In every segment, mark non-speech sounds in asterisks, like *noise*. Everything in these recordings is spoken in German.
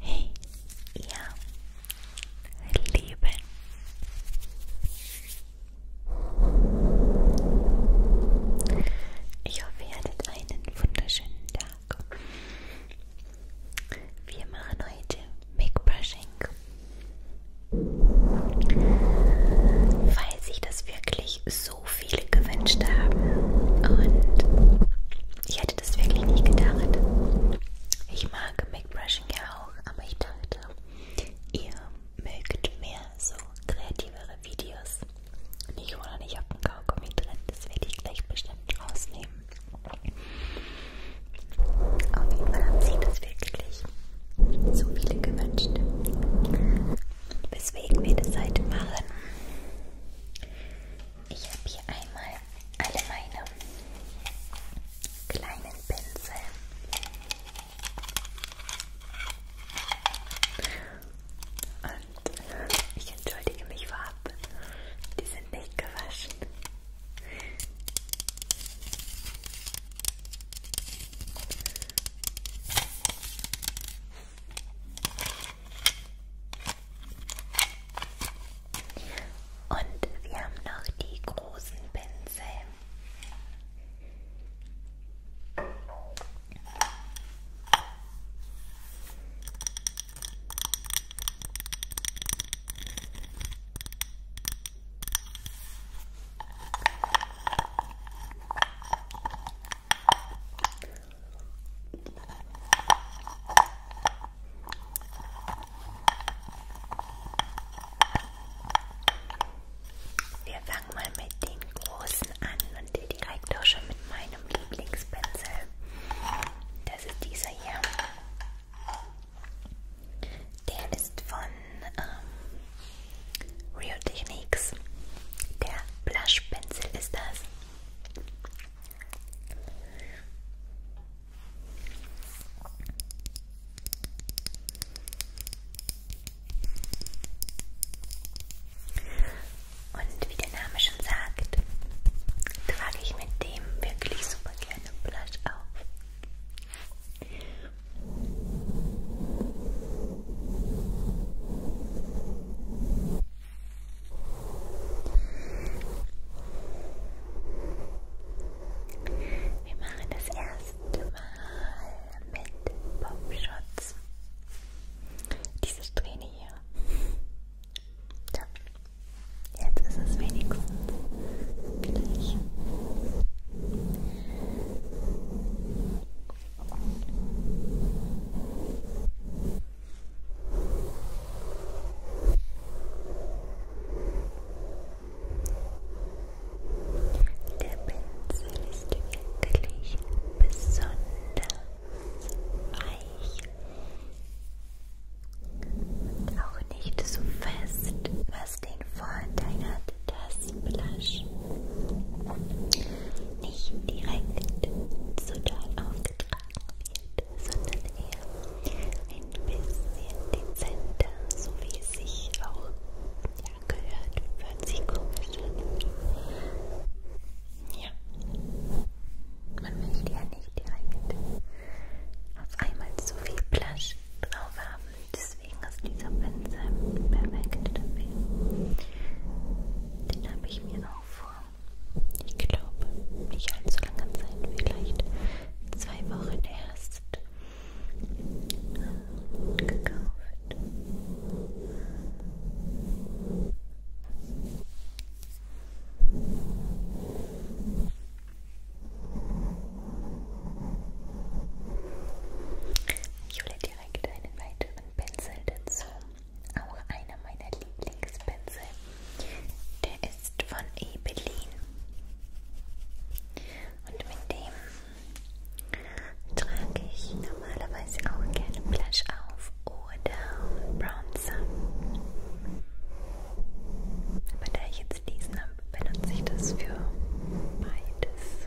Hey, ihr Lieben. Ich hoffe, ihr hattet einen wunderschönen Tag. Wir machen heute Make-Brushing. Falls sich das wirklich so so viele gewünscht haben und ich hätte das wirklich nicht gedacht. Ich mag Make-Brushing ja auch, aber ich dachte, ihr mögt mehr so kreativere Videos. Und ich war noch nicht auf dem Kaugummi drin, das werde ich gleich bestimmt rausnehmen. Auf jeden Fall haben sie das wirklich so viele gewünscht. Weswegen wir das heute machen. Ich habe hier einmal alle meine kleinen Pinsel. Und ich entschuldige mich vorab, die sind nicht gewaschen. Und wir haben noch die großen Pinsel. Wir fangen mal mit den großen an und hier direkt auch schon mit meinem Lieblingspinsel. Das ist dieser hier. Der ist von ähm, Rio Techniques. Der Blush Pencil ist das. Und wie der Name schon sagt, trage ich mit dem wirklich super gerne Blush auf. Wir machen das erste Mal mit Popschutz. Diese Strähne hier. So. Jetzt ist es wenigstens gleich. Der Pinsel ist wirklich besonders weich und auch nicht so fest, was den Vorteil hat, dass Blush nicht direkt zu doll aufgetragen wird, sondern eher ein bisschen dezenter, so wie es sich auch ja, gehört. Hört sich komisch an. Ja. Man möchte ja nicht direkt auf einmal zu viel Blush drauf haben. Deswegen ist dieser Pinsel perfekt dafür. Den habe ich mir auch vor, ich glaube, nicht allzu langer Zeit, vielleicht zwei Wochen erst äh, gekauft. Ich hole direkt einen weiteren Pinsel dazu. Auch einer meiner Lieblingspinsel. Der ist von Ebelin. Und mit dem trage ich normalerweise auch gerne Blush auf oder Bronzer. Aber da ich jetzt diesen habe, benutze ich das für beides.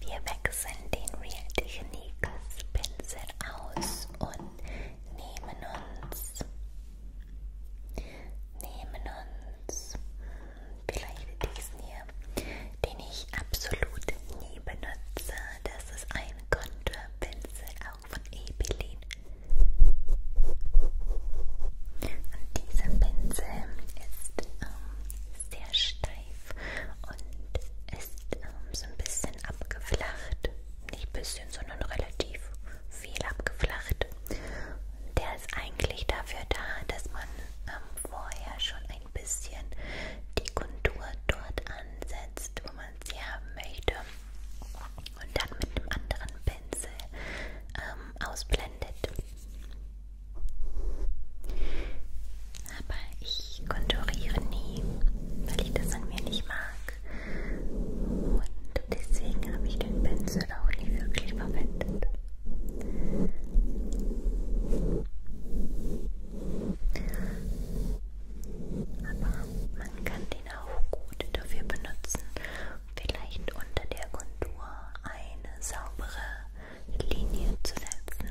Wir wechseln den Real Techniques Pinsel aus und nehmen uns nehmen Pins, vielleicht diesen hier, den ich absolut nie benutze. Das ist ein Konturpinsel, auch von Ebeline. Und dieser Pinsel ist ähm, sehr steif und ist ähm, so ein bisschen abgeflacht. Nicht ein bisschen, sondern relativ viel abgeflacht der ist eigentlich dafür da, dass man ähm, vorher schon ein bisschen die Kontur dort ansetzt, wo man sie haben möchte und dann mit einem anderen Pinsel ähm, ausblendet. Aber ich konturiere nie, weil ich das an mir nicht mag. Und deswegen habe ich den Pinsel auch nie wirklich verwendet. Aber man kann den auch gut dafür benutzen, vielleicht unter der Kontur eine saubere Linie zu setzen.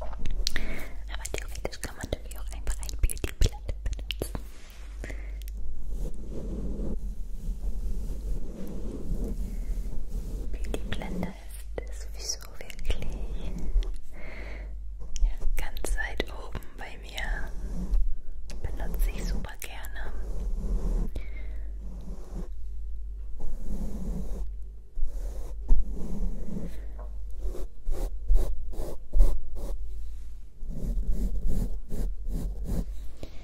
Aber theoretisch kann man natürlich auch einfach ein Beauty-Blatt benutzen. Wie die Blende ist, ist sowieso wirklich ja, ganz weit oben bei mir. Benutze ich super gerne.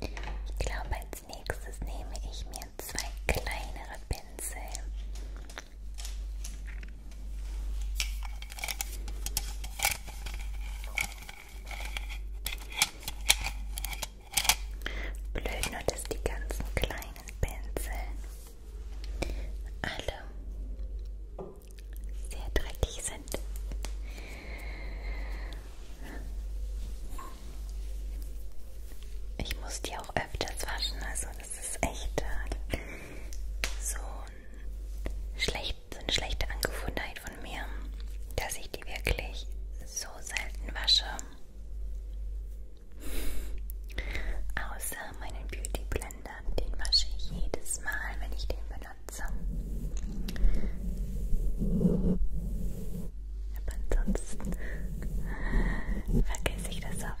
Ich glaube, als nächstes nehme ich mir zwei kleinere Pinsel. Blöd nur, dass die ganzen kleinen Pinsel alle sehr dreckig sind. Ich muss die auch öfters waschen, also das ist echt äh, so, ein schlecht, so eine schlechte Angewohnheit von mir, dass ich die wirklich so selten wasche. Außer meinen Beauty Blender ändern. Den wasche ich jedes Mal, wenn ich den benutze. Aber ansonsten vergesse ich das oft.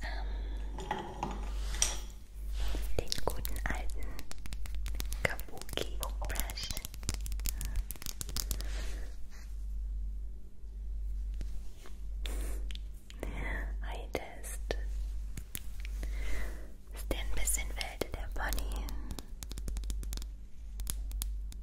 ähm, den guten alten Kabuki Brush. Heute ist, ist der ein bisschen wild, der Pony.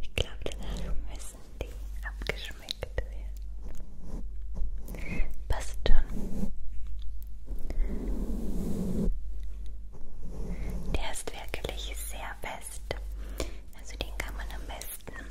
Ich glaube, danach müssen die abgeschmeckt werden. Passt schon. Der ist wirklich sehr fest. Also den kann man am besten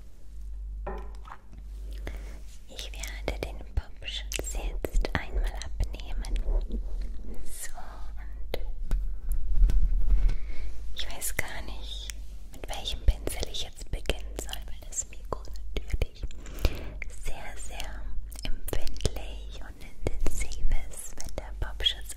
Ich werde den Popschutz jetzt einmal abnehmen. So und ich weiß gar nicht, mit welchem Pinsel ich jetzt beginnen soll, weil das Mikro natürlich sehr, sehr empfindlich und intensiv ist, wenn der Popschutz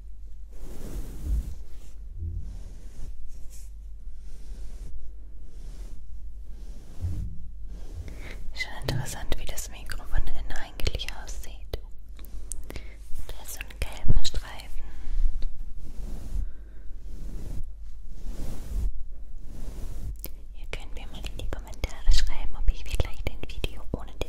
Schon interessant, wie das Mikro von innen eigentlich aussieht. Da ist so ein gelber Streifen. Ihr könnt mir mal in die Kommentare schreiben, ob ich vielleicht ein Video ohne den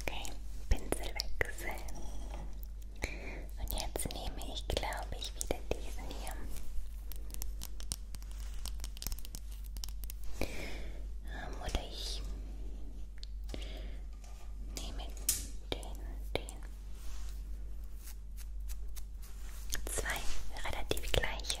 Okay, Pinsel wechseln. Und jetzt nehme ich, glaube ich, wieder diesen hier. Ähm, oder ich Nehmen den und den. Zwei relativ gleiche.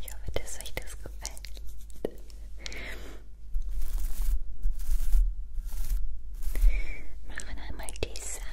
Ich hoffe, dass euch das gefällt. Machen einmal die Seite.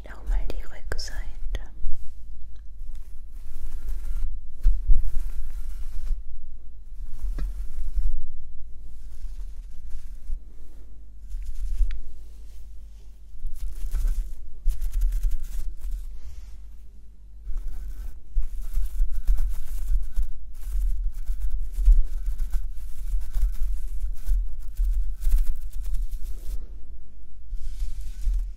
vielleicht auch mal die Rückseite.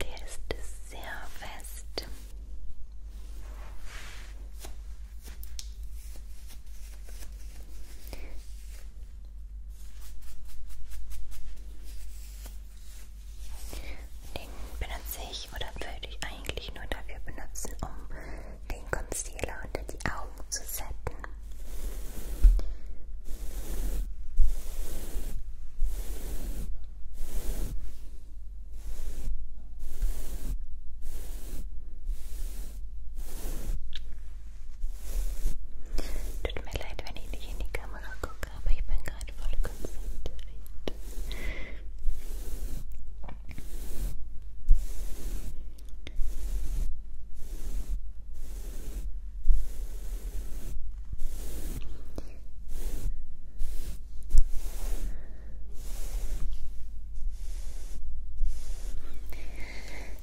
Der ist sehr fest. Den benutze ich oder würde ich eigentlich nur dafür benutzen, um den Concealer unter die Augen zu setzen. Tut mir leid, wenn in die camera gucke, maar ich bin gerade voll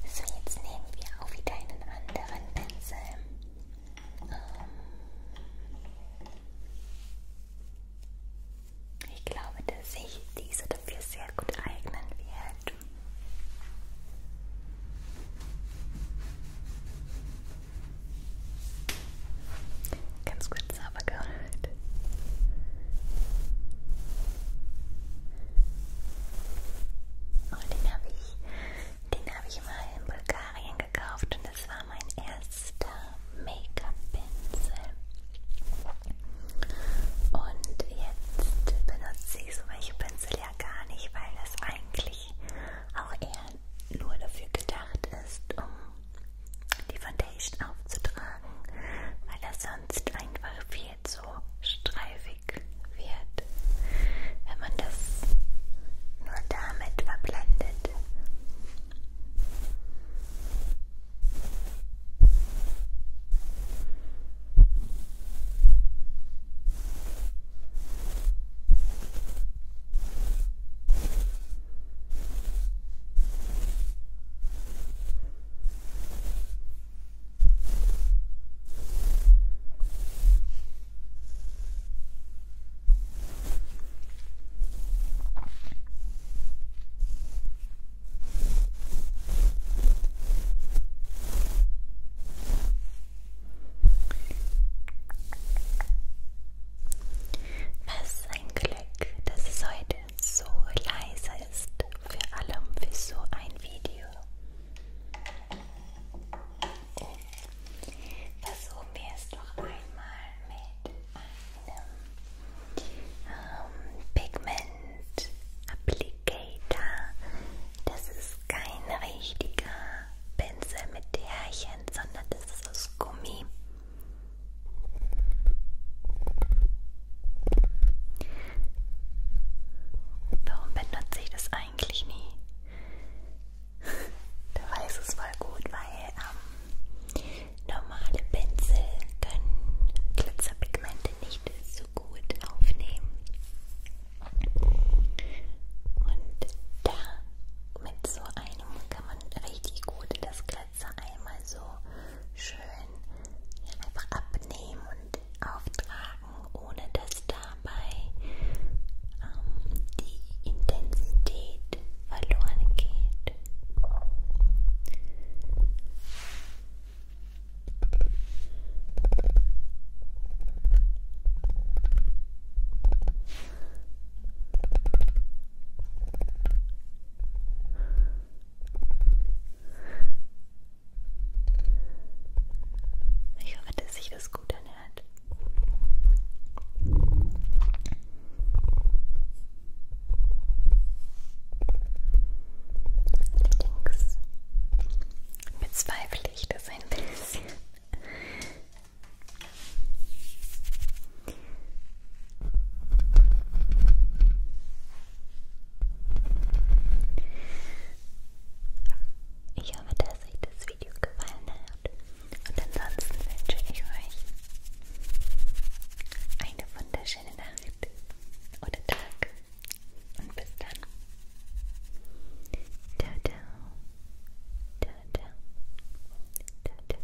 So, jetzt nehmen wir auch wieder einen anderen Pinsel. Ähm ich glaube, dass sich diese dafür sehr gut eignen wird. Ganz kurz sauber gehört. Und den habe ich, den habe ich mal in Bulgarien gekauft und das war mein erster Make-up-Pinsel. Und jetzt benutze ich so welche Pinsel ja gar nicht, weil das eigentlich auch eher nur dafür gedacht ist, um die Foundation aufzutragen, weil das sonst einfach viel jetzt so streifig wird, wenn man das nur damit verblendet. Was ein Glück, dass es heute so leise ist vor allem für so ein Video. Oh. Versuchen wir es doch einmal mit einem ähm, Pigment Applicator. Das ist kein richtiger Pinsel mit Härchen, sondern das ist aus Gummi. Warum benutze ich das eigentlich nie? *laughs* Du weißt es voll gut, weil ähm, normale Pinsel können Glitzerpigmente nicht so gut aufnehmen. Und da mit so einem kann man richtig gut das Glitzer einmal so schön wollen, ja, einfach abnehmen und auftragen, ohne dass dabei ähm, die Intensität verloren geht. Ich hoffe, dass sich das gut anhört. Allerdings bezweifle ich das ein bisschen. Ich hoffe, dass euch das Video gefallen hat. Und ansonsten wünsche ich euch eine wunderschöne Nacht oder Tag. Und bis dann. Ciao, ciao. Ciao, ciao. Ciao, ciao.